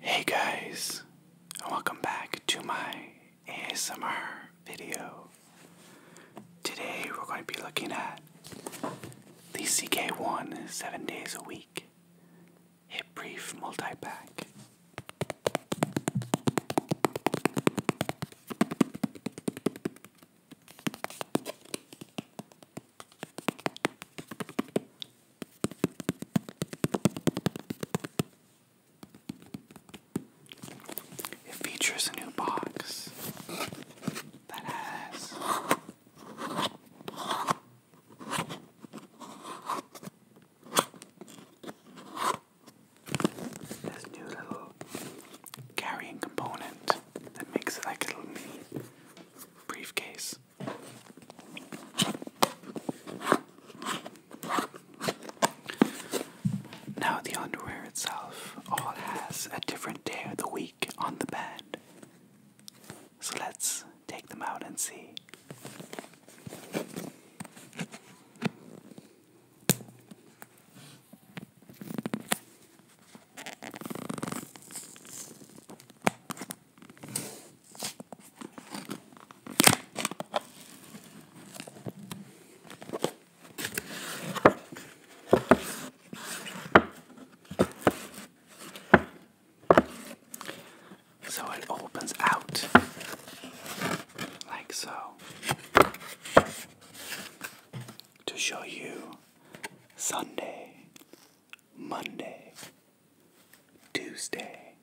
Hey guys, and welcome back to my ASMR video. Today we're going to be looking at the CK1 7 days a week hip brief multi pack. It features a new box that has this new little carrying component that makes it like a little briefcase. Now, the underwear itself all has a different day of the week on the band. So let's take them out and see. So it opens out like so to show you Sunday, Monday, Tuesday,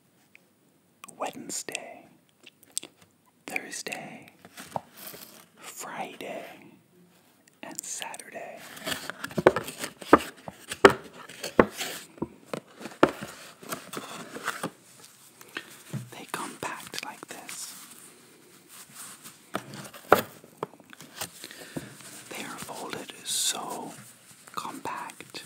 Wednesday, Thursday, Friday, and Saturday. They come packed like this. They are folded so compact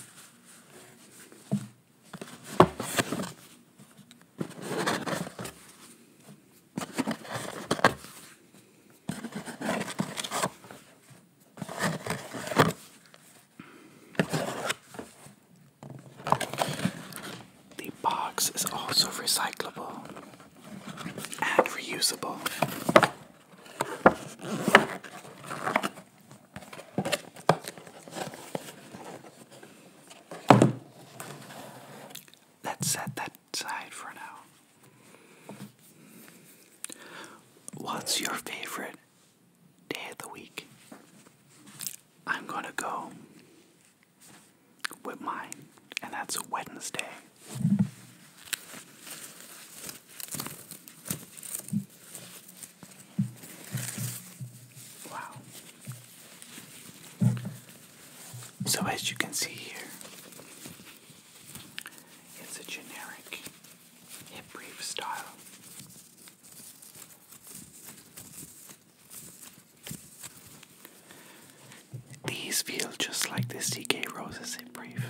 the box is also recyclable and reusable. Let's set that aside for now. What's your favorite day of the week? I'm gonna go with mine, and that's Wednesday. Wow. So, as you can see here, it's a generic hip brief style. These feel just like the CK Roses hip brief.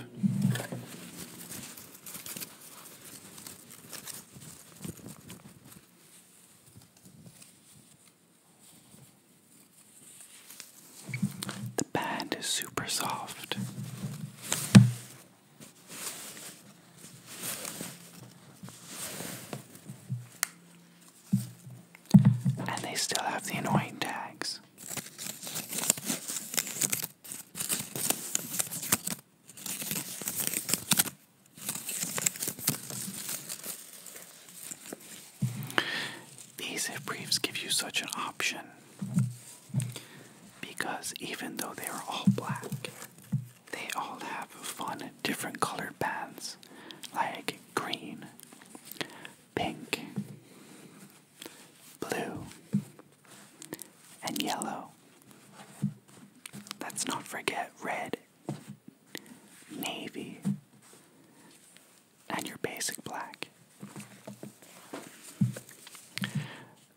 The band is super soft. And they still have the annoying tags. These if briefs give you such an option because even though they are all black, they all have fun different colored bands like green, pink, blue, and yellow. Let's not forget red, navy, and your basic black.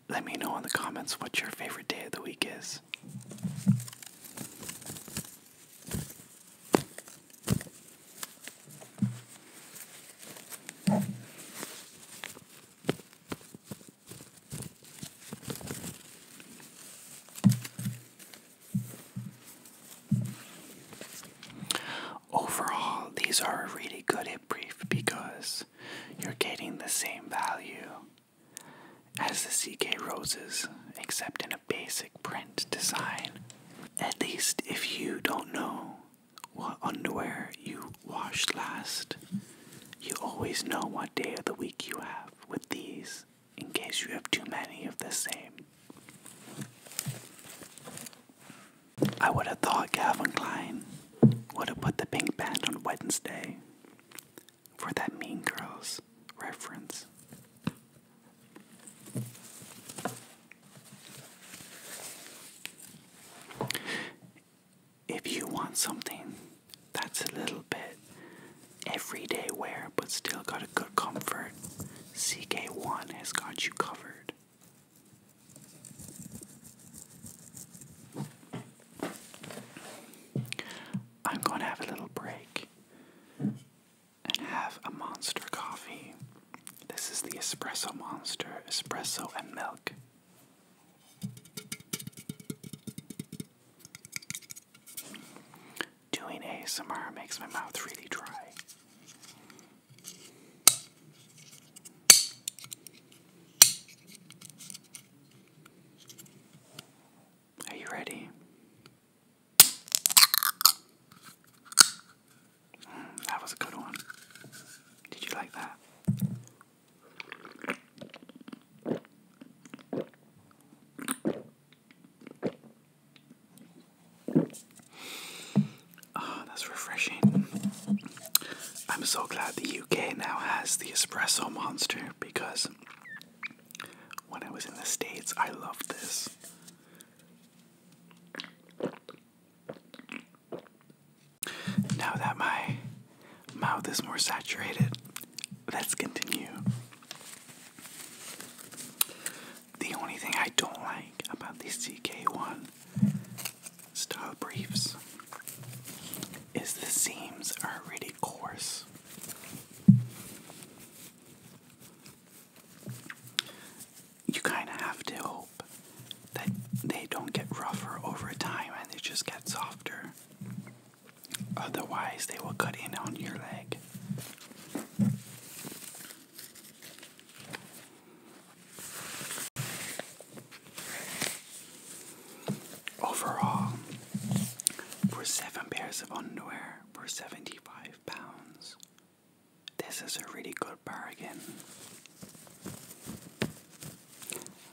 Let me know in the comments what your favorite day of the week is. Overall, these are a really good hit brief because you're getting the same value as the CK Roses, except in a basic print design. At least if you don't know what underwear you washed last. You always know what day of the week you have with these in case you have too many of the same. I would have thought Calvin Klein would have put the pink band on Wednesday for that Mean Girls reference if you want something that's a little bit everyday wear but still got a good comfort, CK1 has got you covered. I'm going to have a little break and have a monster coffee. This is the espresso monster, espresso and milk. Doing ASMR makes my mouth really dry. Are you ready? Mm, that was a good one. Did you like that? Oh, that's refreshing. I'm so glad the UK now has the espresso monster because when I was in the States, I loved this. Now that my mouth is more saturated, let's continue. The only thing I don't like about these CK1 style briefs is the seams are really coarse. You kind of have to hope that they don't get rougher over time and they just get softer. Otherwise, they will cut in on your leg. Overall, for seven pairs of underwear for 75 pounds, this is a really good bargain.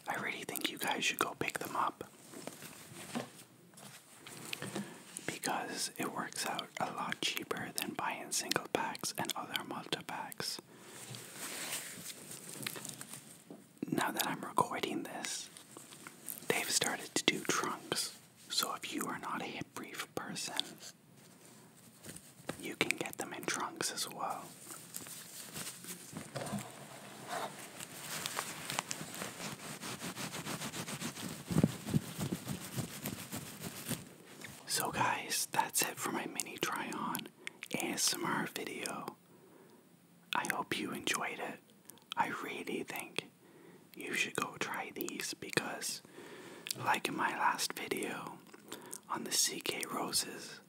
I really think you guys should go pick them up because it works out a lot cheaper than buying single packs and other multi packs. Now that I'm recording this, they've started to do trunks. So if you are not a hip brief person, you can get them in trunks as well. So, guys, that's it for my mini try on ASMR video. I hope you enjoyed it. I really think you should go try these because, like in my last video on the CK Roses,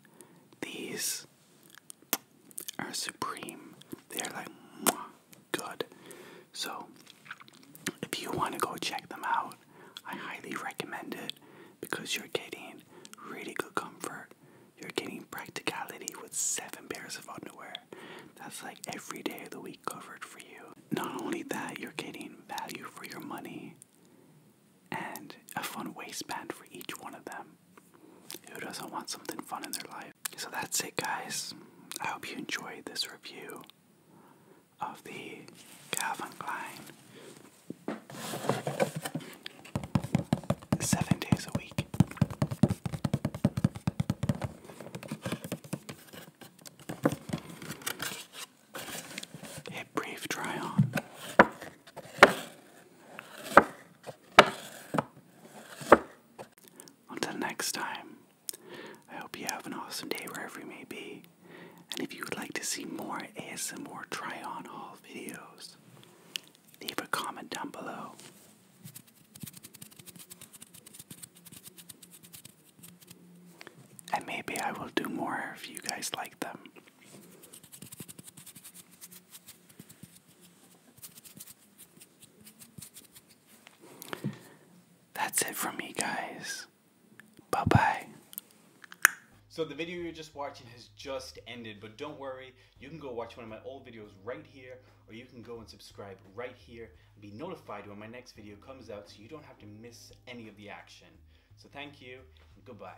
these are supreme. They are like good. So if you want to go check them out, I highly recommend it because you're getting really good comfort. You're getting practicality with seven pairs of underwear. That's like every day of the week covered for you. Not only that, you're getting value for your money and a fun waistband for each one of them. Who doesn't want something fun in their life? So that's it, guys. I hope you enjoyed this review of the Calvin Klein seven days a week. A brief try on. Until next time, I hope you have an awesome day wherever you may be. And if you would like to see more ASMR try on haul videos, leave a comment down below. And maybe I will do more if you guys like them. That's it from me, guys. Bye bye. So the video you're just watching has just ended, but don't worry, you can go watch one of my old videos right here, or you can go and subscribe right here and be notified when my next video comes out so you don't have to miss any of the action. So thank you, and goodbye.